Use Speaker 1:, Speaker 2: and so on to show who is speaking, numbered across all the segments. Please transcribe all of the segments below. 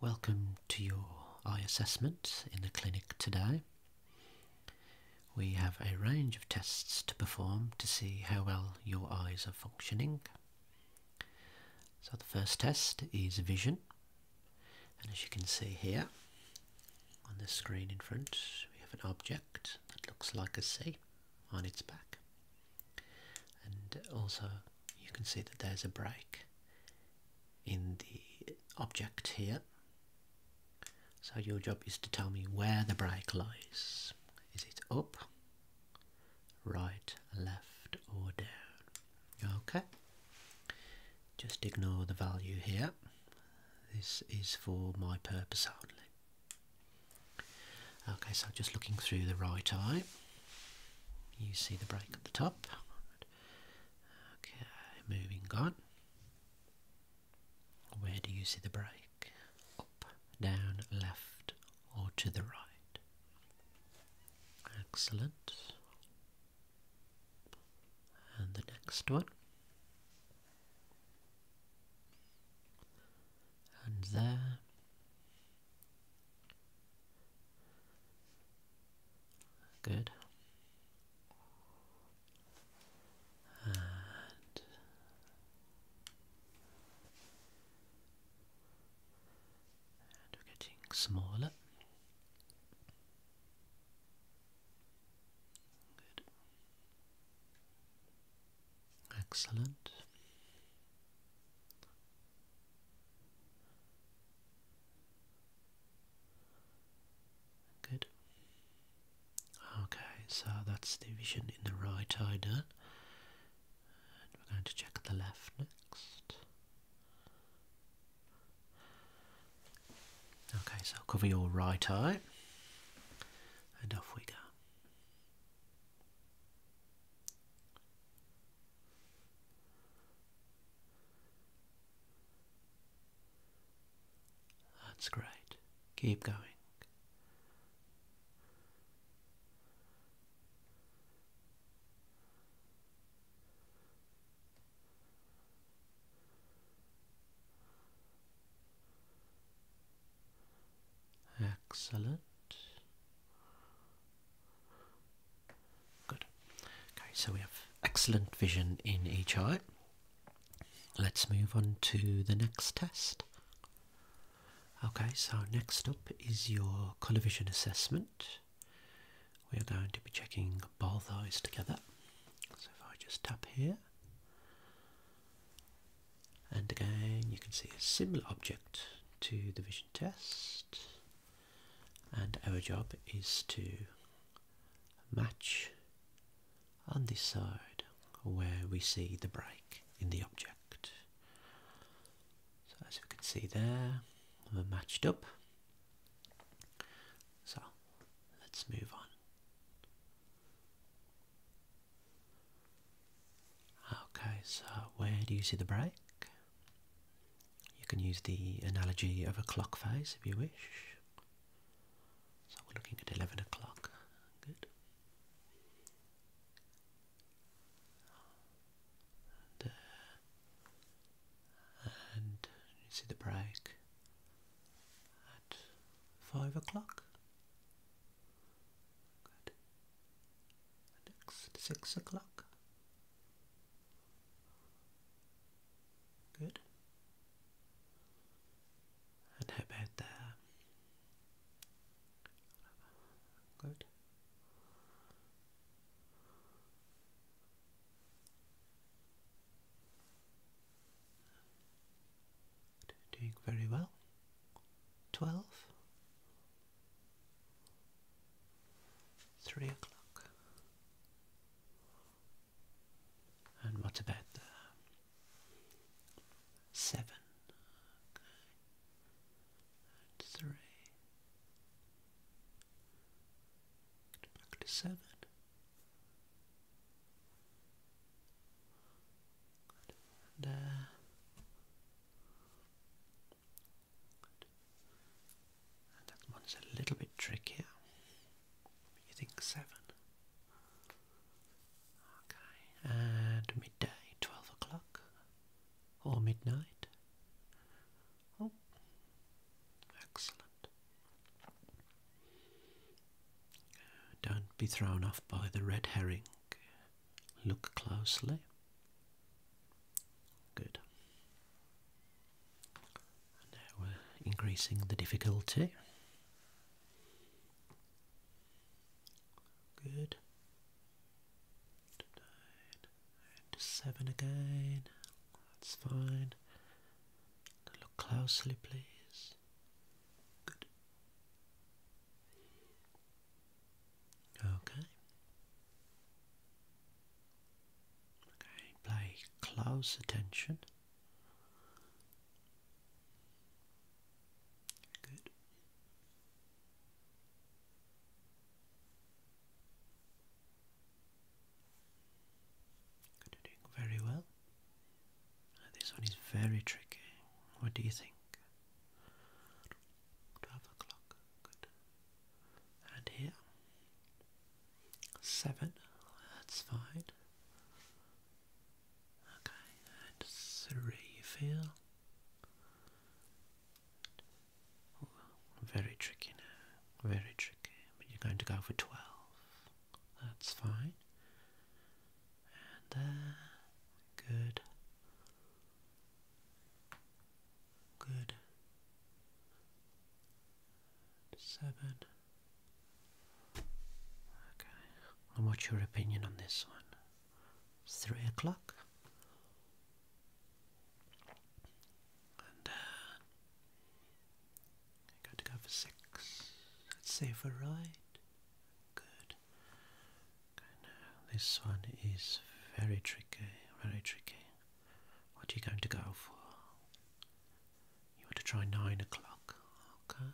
Speaker 1: Welcome to your eye assessment in the clinic today. We have a range of tests to perform to see how well your eyes are functioning. So the first test is vision and as you can see here on the screen in front we have an object that looks like a C on its back and also you can see that there's a break in the object here. So your job is to tell me where the break lies. Is it up, right, left or down? Okay. Just ignore the value here. This is for my purpose only. Okay, so just looking through the right eye. You see the break at the top. Okay, moving on. Where do you see the break? Up, down, left, or to the right? Excellent. And the next one. And there Good. And we're getting smaller. Good. Excellent. Good. Okay, so that's the vision in the right eye done. we're going to check the left next. Okay, so cover your right eye and off we go. That's great. Keep going. Excellent. Good. Okay, so we have excellent vision in each eye. Let's move on to the next test. Okay, so next up is your colour vision assessment. We are going to be checking both eyes together. So if I just tap here, and again you can see a similar object to the vision test and our job is to match on this side where we see the break in the object. So as you can see there, we're matched up. So let's move on. Okay, so where do you see the break? You can use the analogy of a clock face if you wish. So we're looking at 11 o'clock. Good. Uh, and, you see the break at 5 o'clock. Good. Next, 6 o'clock. Good. And how about there? Good. Doing very well. Twelve. Three o'clock. And what about seven? three. Back to seven. Good that one's a little bit trickier. You think seven? Okay, and midday, twelve o'clock, or midnight. Oh, excellent. Don't be thrown off by the red herring. Look closely. Good. Now we're increasing the difficulty. Good. And seven again. That's fine. Look closely, please. Good. Okay. Okay, play close attention. Good. Good, doing very well. this one is very tricky. What do you think? Twelve o'clock. Good and here. Seven, that's fine. Okay, and three, you very tricky now, very tricky, but you're going to go for 12. That's fine. And there, uh, good. Good. Seven. Okay. And what's your opinion on this one? Three o'clock. And uh, got to go for six. Let's see for right. Good. Okay, now this one is very tricky. Very tricky. What are you going to go for? You want to try nine o'clock? Okay.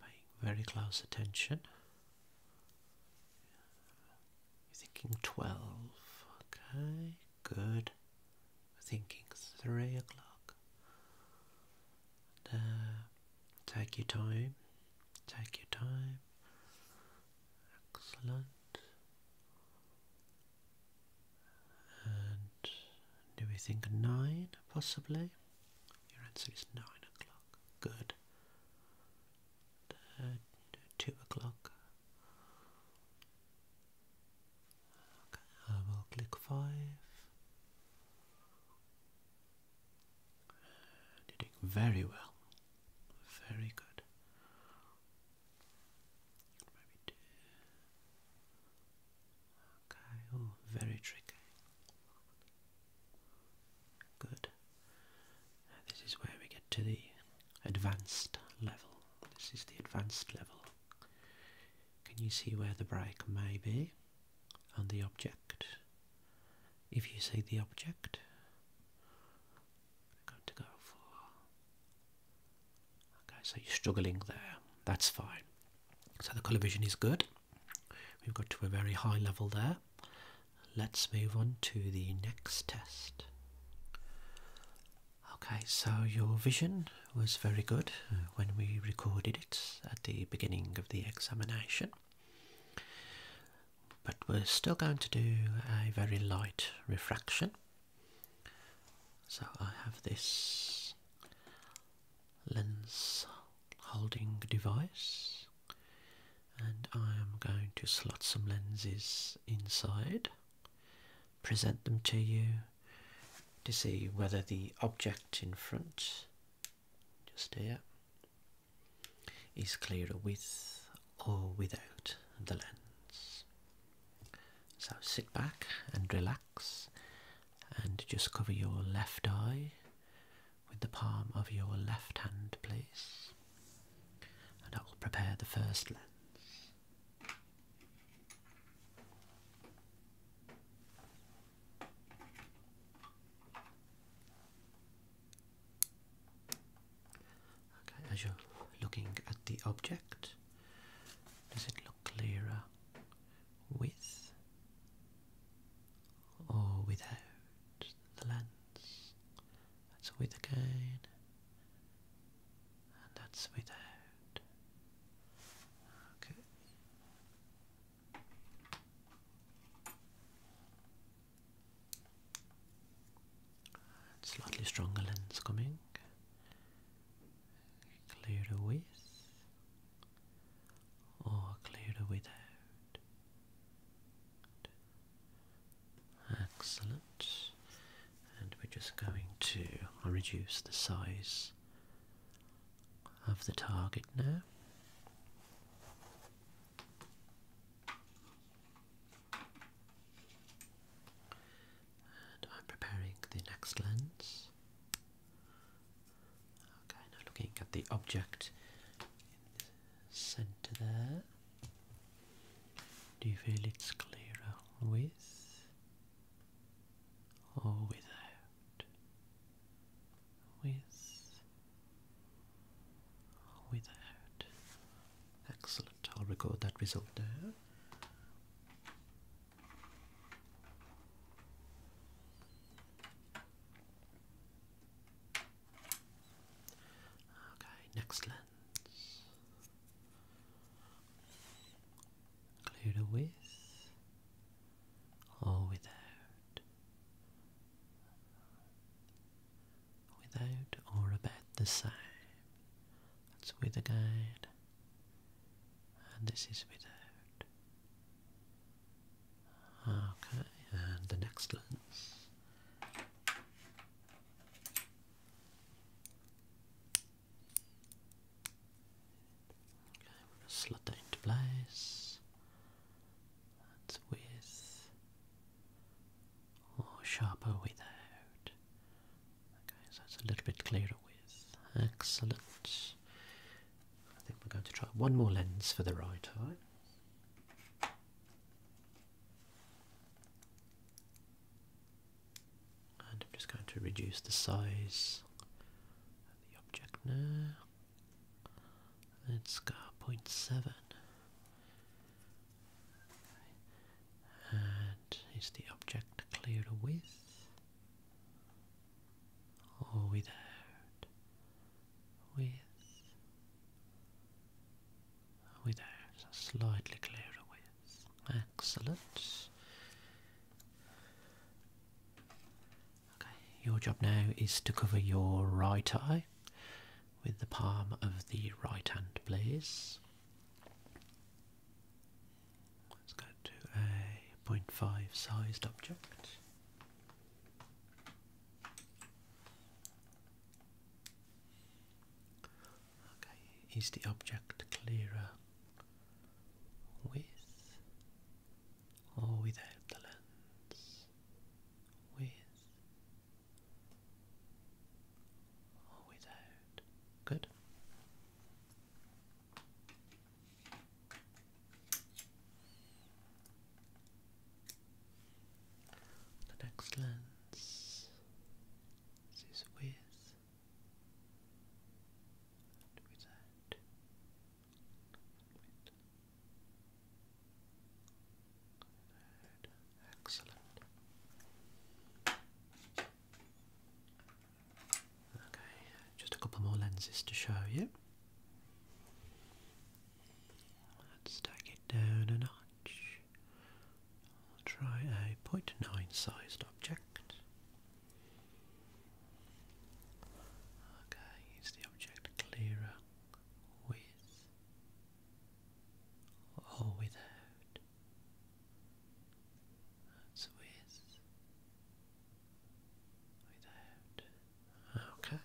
Speaker 1: paying very close attention. You're thinking twelve. Okay, good. thinking three o'clock. Uh, Take your time. Take your time. Excellent. And do we think nine possibly? Your answer is nine o'clock. Good. Uh, two o'clock. Okay, I will click five doing very well. Very good. Okay, oh, very tricky. Good. This is where we get to the advanced level. This is the advanced level. Can you see where the break may be on the object? if you see the object. I'm going to go for. Okay, so you're struggling there. That's fine. So the colour vision is good. We've got to a very high level there. Let's move on to the next test. Okay, so your vision was very good uh, when we recorded it at the beginning of the examination but we're still going to do a very light refraction. So I have this lens holding device and I am going to slot some lenses inside, present them to you to see whether the object in front, just here, is clearer with or without the lens. So sit back and relax and just cover your left eye with the palm of your left hand please and I will prepare the first lens. Okay, as you're looking at the object, does it look clearer with or without the lens? That's with again, and that's without. Okay. Slightly stronger lens coming. Clear the with or clear without. Excellent. And we're just going to reduce the size of the target now. I'm preparing the next lens. Okay, now looking at the object centre there. Do you feel it's clearer with or without? With without. Excellent, I'll record that result there. Okay, next lens. Include with or without without or about the same. That's with a guide, and this is without. Okay, and the next lens. Okay, we're going to slot that into place. That's with or sharper without. Okay, so it's a little bit clearer with. Excellent. I think we're going to try one more lens for the right eye. And I'm just going to reduce the size of the object now. That's got 0.7. And is the object clear with or without? With. Without. slightly clearer with. Excellent. Okay, your job now is to cover your right eye with the palm of the right hand, please. Let's go to a point sized object. Okay, is the object clearer with or without the lens? With or without. Good. The next lens is with without. And Excellent. Okay, just a couple more lenses to show you. Let's take it down a notch. try a 0.9 sized object. Okay, is the object clearer with or without. That's with, without. Okay.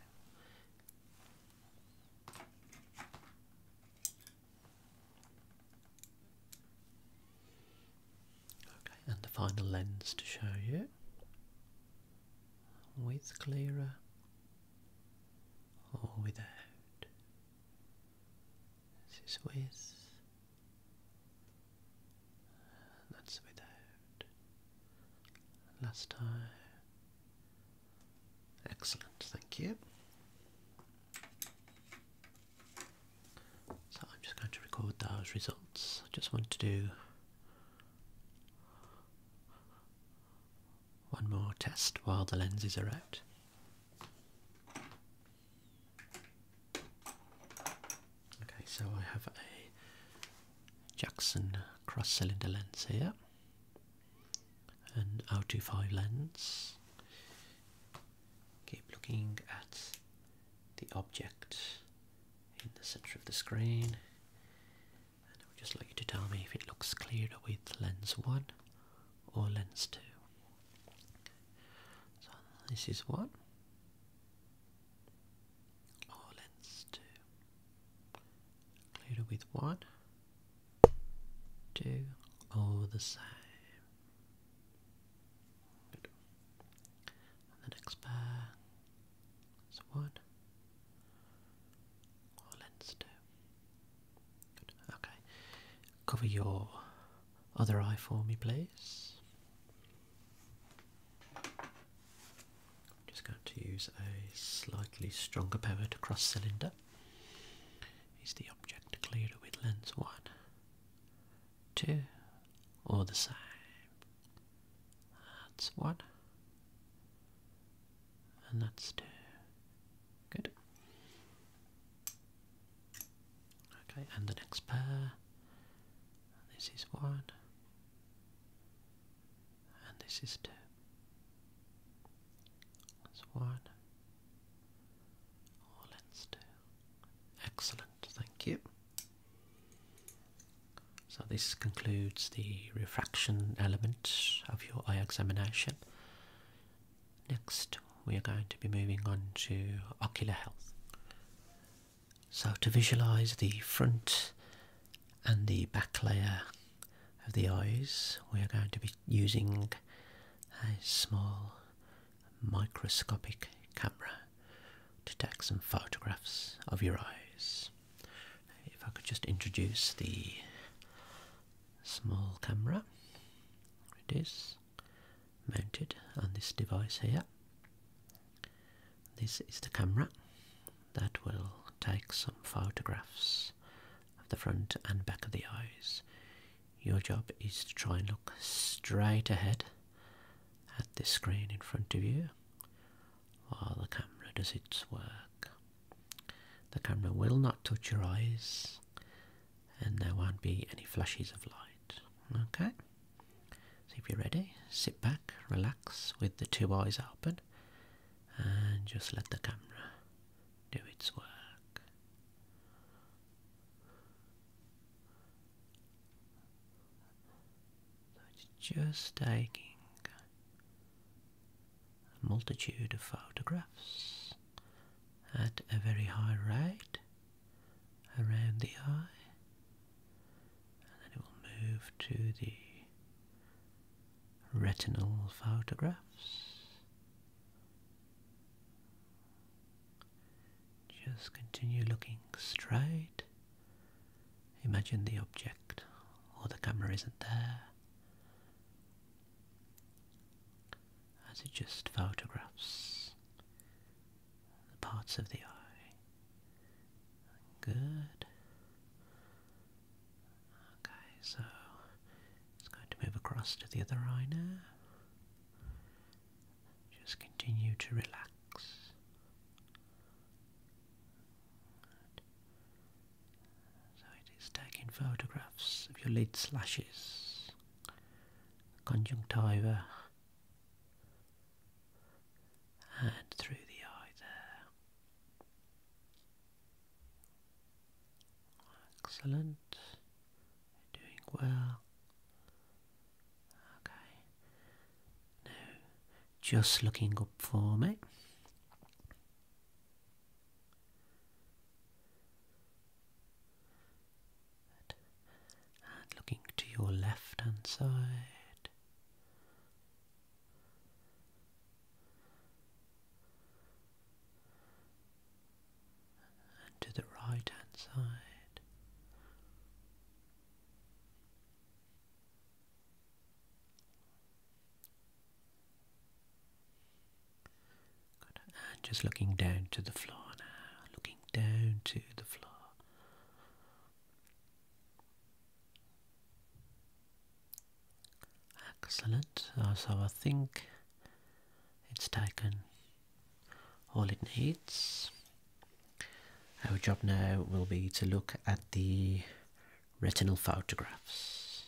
Speaker 1: Okay, and the final lens to show you with clearer or without. This is with, that's without. Last time. Excellent, thank you. So I'm just going to record those results. I just want to do one more test while the lenses are out. Okay, so I have a Jackson cross cylinder lens here, an 025 lens. Keep looking at the object in the centre of the screen. I would just like you to tell me if it looks clearer with lens 1 or lens 2. So this is 1 or lens 2. Clearer with 1, 2 or the same. the next pair is 1 or lens 2. Okay. Cover your other eye for me, please. Just going to use a slightly stronger power to cross cylinder. Is the object clear with lens one, two, all the same? That's one, and that's two. Good. Okay, and the next pair. This is one, and this is two. That's one. Or oh, let Excellent, thank you. So this concludes the refraction element of your eye examination. Next, we are going to be moving on to ocular health. So, to visualize the front and the back layer of the eyes, we are going to be using a small microscopic camera to take some photographs of your eyes. If I could just introduce the small camera. It is mounted on this device here. This is the camera that will take some photographs of the front and back of the eyes. Your job is to try and look straight ahead at the screen in front of you while the camera does its work. The camera will not touch your eyes and there won't be any flashes of light. Okay? So if you're ready, sit back, relax with the two eyes open and just let the camera do its work. just taking a multitude of photographs at a very high rate around the eye, and then it will move to the retinal photographs. Just continue looking straight. Imagine the object or the camera isn't there as it just photographs the parts of the eye. Good. Okay, so it's going to move across to the other eye now. Just continue to relax. So it is taking photographs of your lid slashes, conjunctiva, and through the eye there. Excellent. Doing well. Okay. Now, just looking up for me. And looking to your left hand side. And to the right hand side just looking down to the floor now, looking down to the floor. Excellent. So I think it's taken all it needs. Our job now will be to look at the retinal photographs.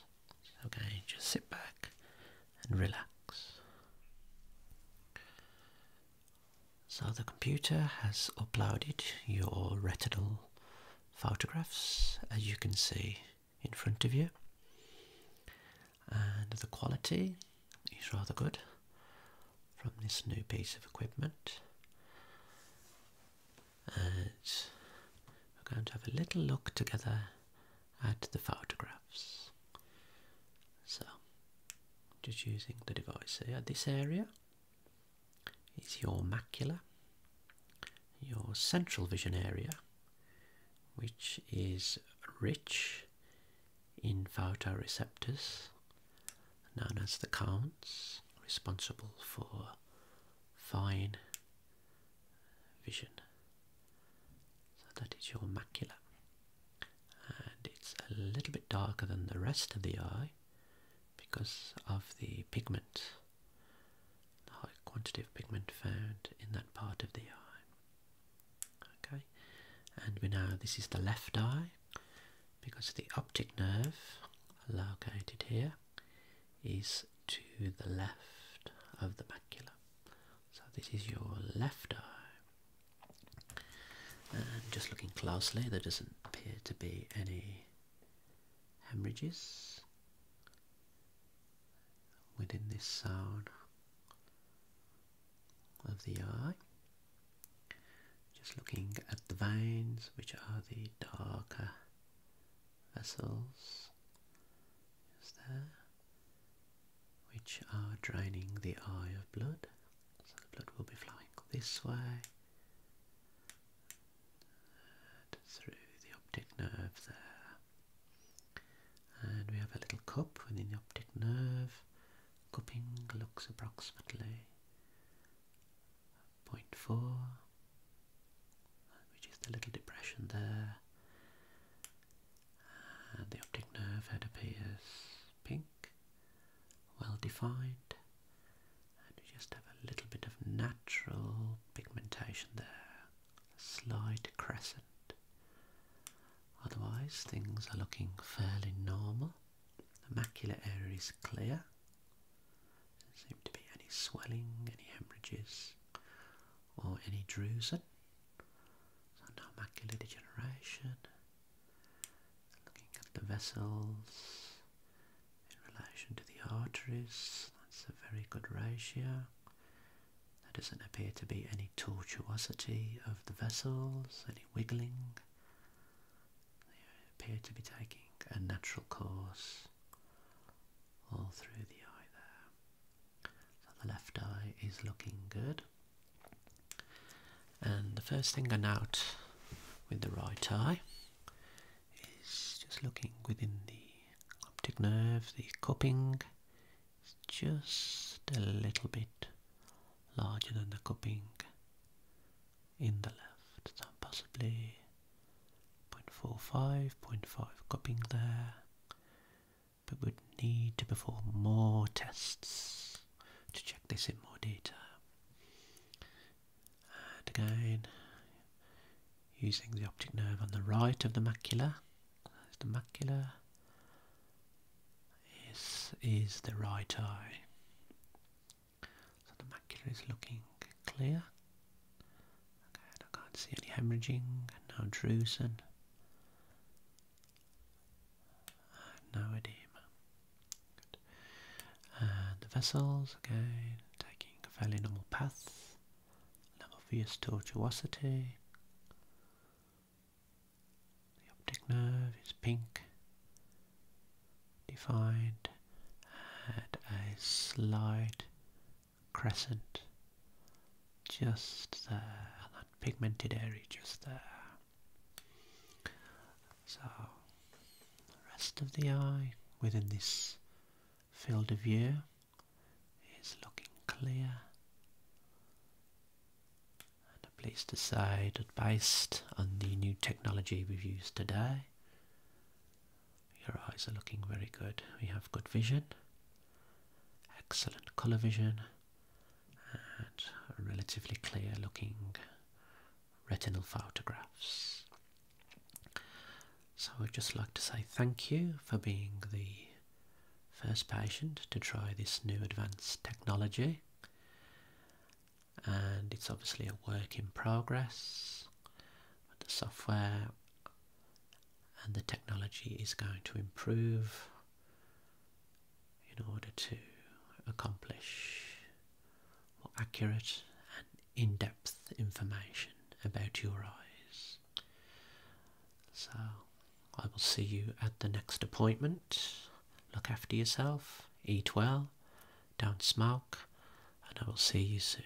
Speaker 1: Okay, just sit back and relax. So the computer has uploaded your retinal photographs as you can see in front of you and the quality is rather good from this new piece of equipment and we're going to have a little look together at the photographs. So, just using the device here, this area is your macula, your central vision area, which is rich in photoreceptors known as the cones, responsible for fine vision. So that is your macula. And it's a little bit darker than the rest of the eye because of the pigment, the high quantity of pigment found in that part of the eye. Okay, and we know this is the left eye because the optic nerve located here is to the left of the macula. So this is your left eye. And just looking closely, there doesn't appear to be any hemorrhages within this zone of the eye. Just looking at the veins, which are the darker vessels is there which are draining the eye of blood. So the blood will be flowing this way through the optic nerve there. And we have a little cup within the optic nerve. Cupping looks approximately 0.4 which is the little depression there. And the optic nerve head appears pink, well defined, and you just have a little bit of natural pigmentation there, a slight crescent. Otherwise, things are looking fairly normal. The macular area is clear. There doesn't seem to be any swelling, any hemorrhages, or any drusen. So no macular degeneration. Looking at the vessels in relation to the arteries, that's a very good ratio. There doesn't appear to be any tortuosity of the vessels, any wiggling. They appear to be taking a natural course all through the eye there. So the left eye is looking good. And the first thing I note with the right eye is just looking within the optic nerve, the cupping is just a little bit larger than the cupping in the left, so possibly 0.45, 0.5 cupping there, but would need to perform more tests to check this in more detail. And again, using the optic nerve on the right of the macula, there's the macula is, is the right eye. So the macula is looking clear and I can't see any hemorrhaging, no drusen, no edema. And the vessels, again, taking a fairly normal path, no obvious tortuosity. The optic nerve is pink, defined, and a slight crescent just there, that pigmented area just there. So, the rest of the eye within this field of view is looking clear. And I'm pleased to based on the new technology we've used today, your eyes are looking very good. We have good vision, excellent colour vision, and relatively clear looking retinal photographs. So I'd just like to say thank you for being the first patient to try this new advanced technology and it's obviously a work in progress the software and the technology is going to improve in order to accomplish more accurate and in depth information about your eyes. So, I will see you at the next appointment. Look after yourself, eat well, don't smoke, and I will see you soon.